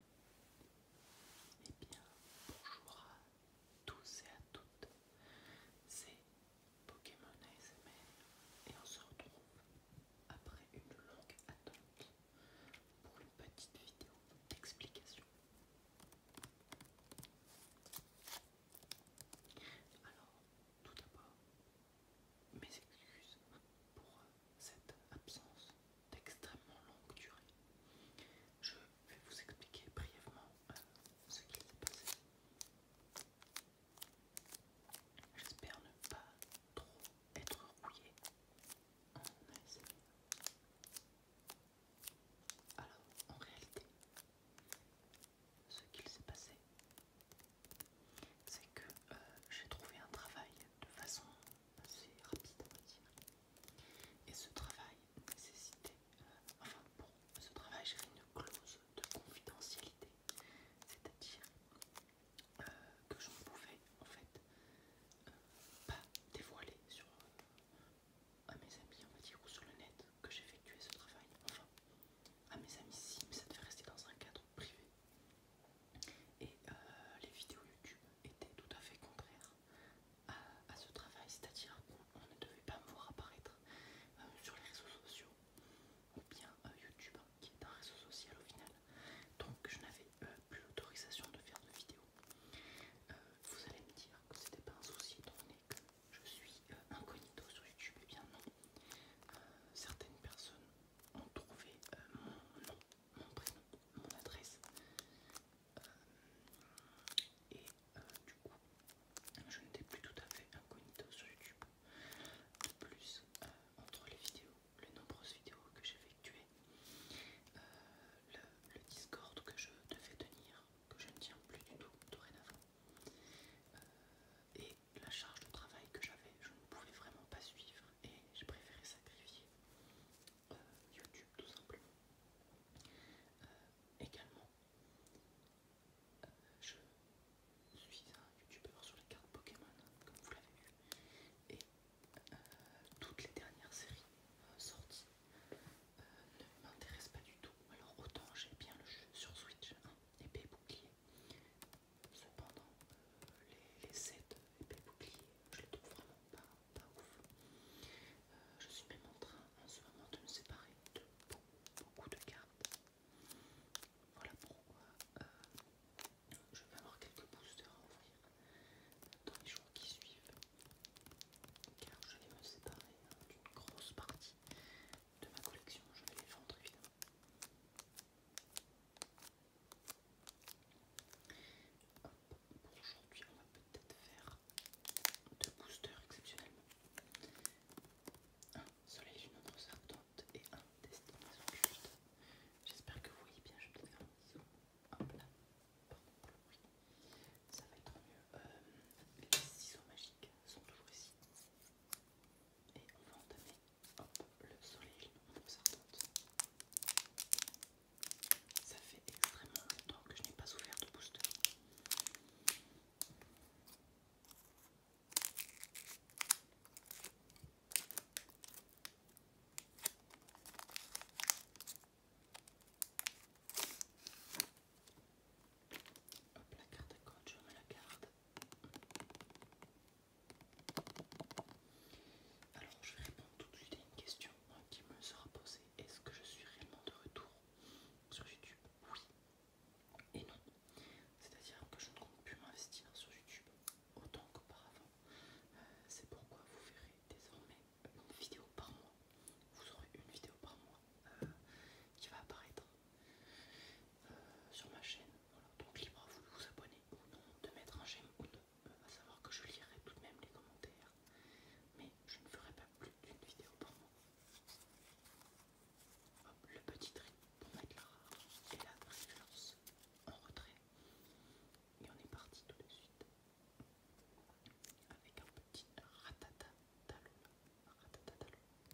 Eh bien, bonjour à tous et à toutes, c'est Pokémon ASMR et on se retrouve après une longue attente pour une petite vidéo d'explication. Alors, tout d'abord, mes excuses pour euh, cette absence d'extrêmement longue durée. Je vais vous expliquer brièvement euh, ce qu'il s'est passé. J'espère ne pas trop être rouillé. Alors, en réalité, ce qu'il s'est passé, c'est que euh, j'ai trouvé un travail de façon c'est rapide à dire. Et ce travail nécessitait, euh, enfin pour ce travail j'avais une clause de confidentialité, c'est-à-dire euh, que je ne pouvais en fait euh, pas dévoiler sur à mes amis on va dire ou sur le net que j'effectuais ce travail. Enfin à mes amis si, ça devait rester dans un cadre privé. Et euh, les vidéos YouTube étaient tout à fait contraires à, ce travail, c'est-à-dire qu'on ne devait pas me voir apparaître euh, sur les réseaux sociaux ou bien euh, YouTube hein, qui est un réseau social au final. Donc je n'avais plus l'autorisation de faire de vidéos. vous allez me dire que c'était pas un souci donné que je suis incognito sur YouTube, et eh bien non. certaines personnes ont trouvé euh, mon nom, mon prénom, mon adresse. Euh, et euh, du coup, je n'étais plus tout à fait incognito sur YouTube. De plus, entre les vidéos, les nombreuses vidéos que j'effectuais, le, Discord que je devais tenir, que je ne tiens plus du tout dorénavant, et la charge de travail que j'avais, je ne pouvais vraiment pas suivre et j'ai préféré sacrifier euh, YouTube tout simplement. Euh, également, euh, je suis un youtubeur sur les cartes Pokémon, comme vous l'avez vu, et toutes les dernières séries sorties ne m'intéressent pas du tout. Alors autant j'ai bien le jeu sur Switch, hein, épée et bouclier, Cependant, les, les sets épais boucliers, je les trouve vraiment pas, pas ouf. Euh, je suis même en train en hein, ce moment de me séparer de beaucoup de cartes. Voilà pourquoi euh, je vais avoir quelques boosters à ouvrir dans les jours qui suivent. Car je vais me séparer hein, d'une grosse partie de ma collection. Je vais les vendre évidemment. Aujourd'hui, on va peut-être faire deux boosters exceptionnellement. Un soleil une autre sortante et un destination juste. J'espère que vous voyez bien, je vais peut-être faire un ciseau. Hop là, pardon Ça va être mieux. Euh, les ciseaux magiques sont toujours ici. Et on va entamer hop, le soleil en Ça fait extrêmement longtemps que je n'ai pas ouvert de booster. Hop, la carte à code, je mets la carte. Alors, je vais répondre tout de suite à une question hein, qui me sera posée. Est-ce que je suis réellement de retour sur YouTube Oui et non. C'est-à-dire que je ne compte plus m'investir sur YouTube autant qu'auparavant. Euh, c'est pourquoi vous verrez désormais une vidéo par mois. Vous aurez une vidéo par mois euh, qui va apparaître euh, sur ma chaîne. Donc libre à vous de vous abonner ou non, de mettre un j'aime ou non, euh, à savoir que je lirai tout de même les commentaires, mais je ne ferai pas plus d'une vidéo par mois. Hop, le petit trait pour mettre la rare et la référence en retrait. Et on est parti tout de suite avec un petit ratatatalou ratatatalou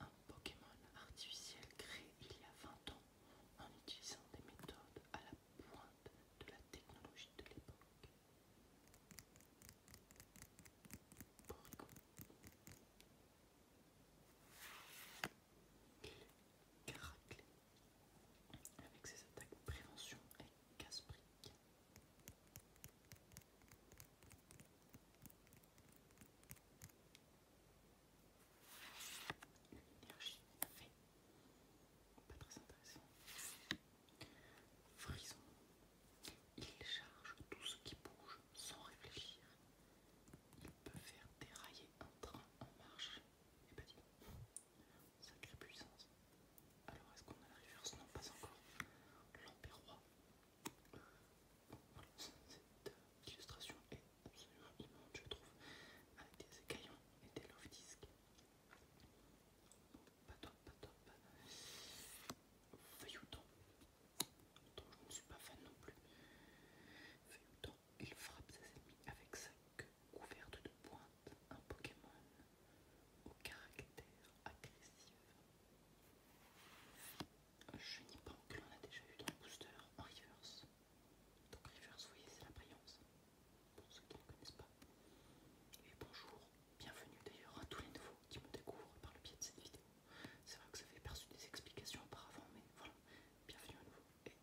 un Pokémon artificiel créé il y a 20 ans en utilisant des méthodes à la pointe de la technologie de l'époque. Porygon. Avec ses attaques prévention et casse fait. Pas très intéressant. Frison. Il charge tout ce qui bouge sans réfléchir. Il peut faire dérailler un train en marche. Et bah dis sacrée puissance. Alors est-ce qu'on a la réverse Non, pas encore. L'empire cette illustration est absolument immonde, je trouve, avec des écaillons et des love discs. Pas top, pas top. je ne suis pas fan non plus. Feuilleton, il frappe ses ennemis avec sa queue couverte de pointe, un Pokémon au caractère agressif. Je pense que l'on a déjà eu dans le booster en reverse. Donc reverse, vous voyez, c'est la brillance. Pour ceux qui ne connaissent pas. Et bonjour, bienvenue d'ailleurs à tous les nouveaux qui me découvrent par le biais de cette vidéo. C'est vrai que ça fait perçu des explications auparavant, mais voilà, bienvenue à nouveau. Et,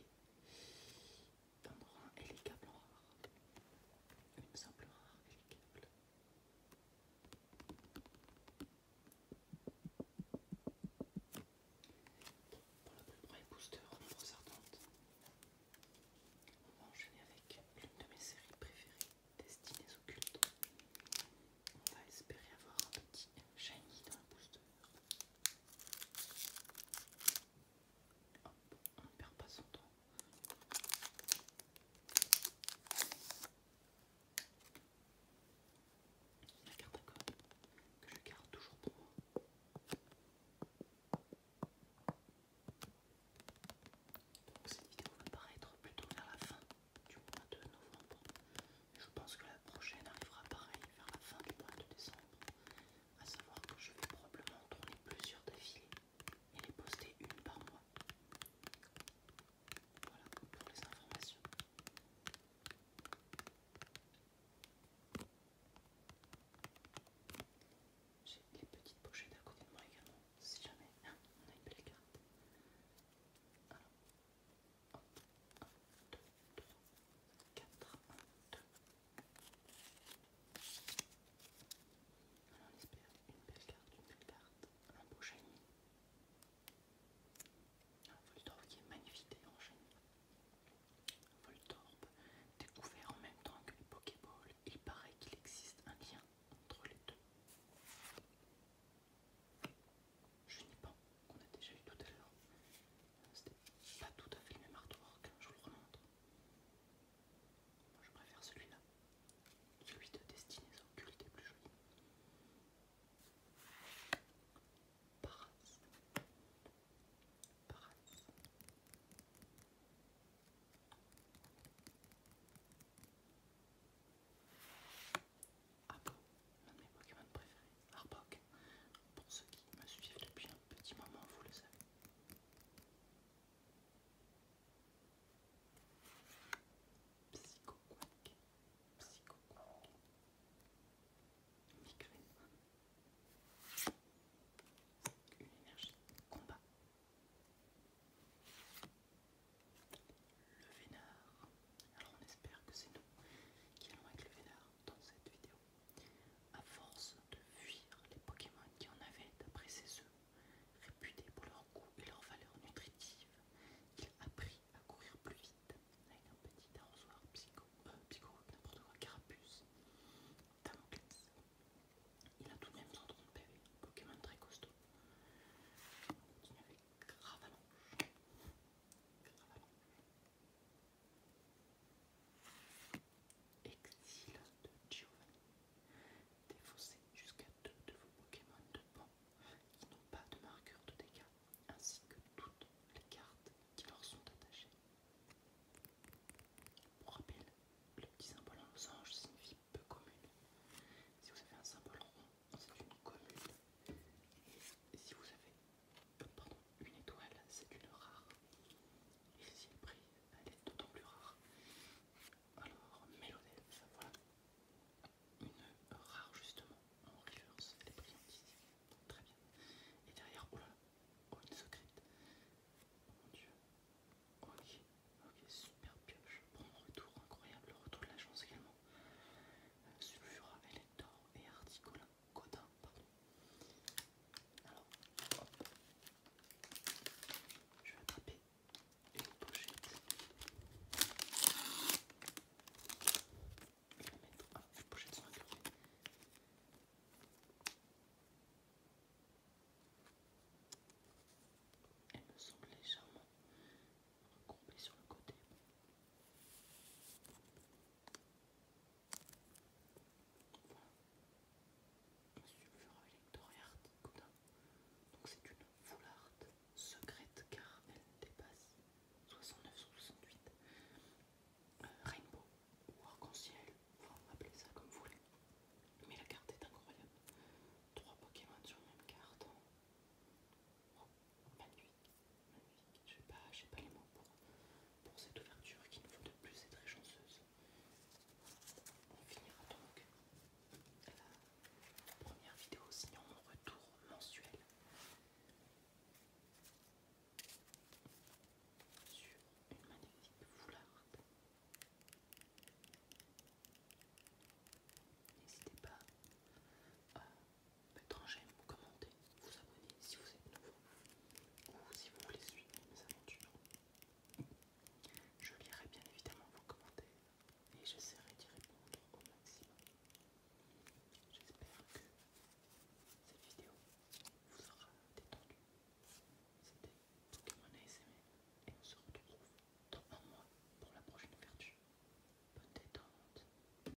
et, et. et les câbles Une simple rare et pour le premier booster On va enchaîner avec l'une de mes séries préférées, Destinées aux cultes. On va espérer avoir un petit shiny dans le booster. Hop, on ne perd pas son temps. La carte à code que je garde toujours pour moi. cette vidéo va paraître plutôt vers la fin du mois de novembre. Je pense que la prochaine arrivera pareil vers la fin du mois de décembre. A savoir que je vais probablement tourner plusieurs défilés. Il est posté une par mois. Voilà pour les informations. J'ai les petites pochettes à côté de moi également, si jamais ah, on a une belle carte. Alors, 1, 1, 2, 3, 4, 1, 2. Alors on espère une belle carte, une belle carte, un beau shiny. Un Voltorb qui est magnifié en shiny. Un Voltorb découvert en même temps que les Pokéballs. Il paraît qu'il existe un lien entre les deux. je pense qu'on a déjà eu tout à l'heure. C'était pas tout à fait le même artwork, je vous le remontre. Moi, je préfère celui-là. Celui de destinée occulte est plus joli. Paras. Paras. Ah bon l'un de mes Pokémon préférés. Arbok. Pour ceux qui me suivent depuis un petit moment, vous le savez psycho psychoquack, migraine, une énergie, combat, le Vénard. Alors on espère que c'est nous qui allons avec le Vénard dans cette vidéo. À force de fuir les Pokémon qui en avaient, d'après ses œufs, réputés pour leur goût et leur valeur nutritive, il a appris à courir plus vite avec un petit arrosoir psycho, euh, n'importe quoi, carapuce, Il a tout de même son trompe un Pokémon très costaud. On continuer avec Gravalon. Exil de Giovanni. Défausser jusqu'à deux de vos Pokémon de pont qui n'ont pas de marqueur de dégâts, ainsi que toutes les cartes qui leur sont attachées. Pour rappel, le petit symbole en losange signifie peu commune. Si vous avez un symbole rond, c'est une commune. Et si vous avez pardon, une étoile, c'est une rare. si le prix, elle est d'autant plus rare. Alors, ça voilà. Une rare, justement, en reverse, est bien ici, Très bien. Et derrière, oh là oh, une secrète. mon dieu. Ok, ok, super pioche. Bon retour, incroyable. Le retour de la chance également. Euh, Sulfura, Elector et Articola. Godin, pardon. Alors, Je vais attraper une pochette. Je vais mettre. Ah, les pochettes sont incurvées. Elle me semble légèrement recourbée sur le côté un sulfure Donc c'est une foularde secrète car elle dépasse 69 sur 68. rainbow ou arc-en-ciel, appelez ça comme vous voulez. Mais la carte est incroyable. Trois Pokémon sur la même carte. de nuit. Je n'ai pas, pas les mots pour, cette ouverture qui nous faut de plus être très chanceuse. On finira donc la première vidéo sinon mon retour mensuel sur une magnifique foularde. N'hésitez pas à mettre vous commenter, vous abonner si vous êtes nouveau ou si vous voulez suivre mes aventures. Je lirai bien évidemment vos commentaires et j'essaierai d'y répondre au maximum. J'espère que cette vidéo vous aura détendu. C'était Pokémon ASMR et on se retrouve dans un mois pour la prochaine ouverture. Bonne détente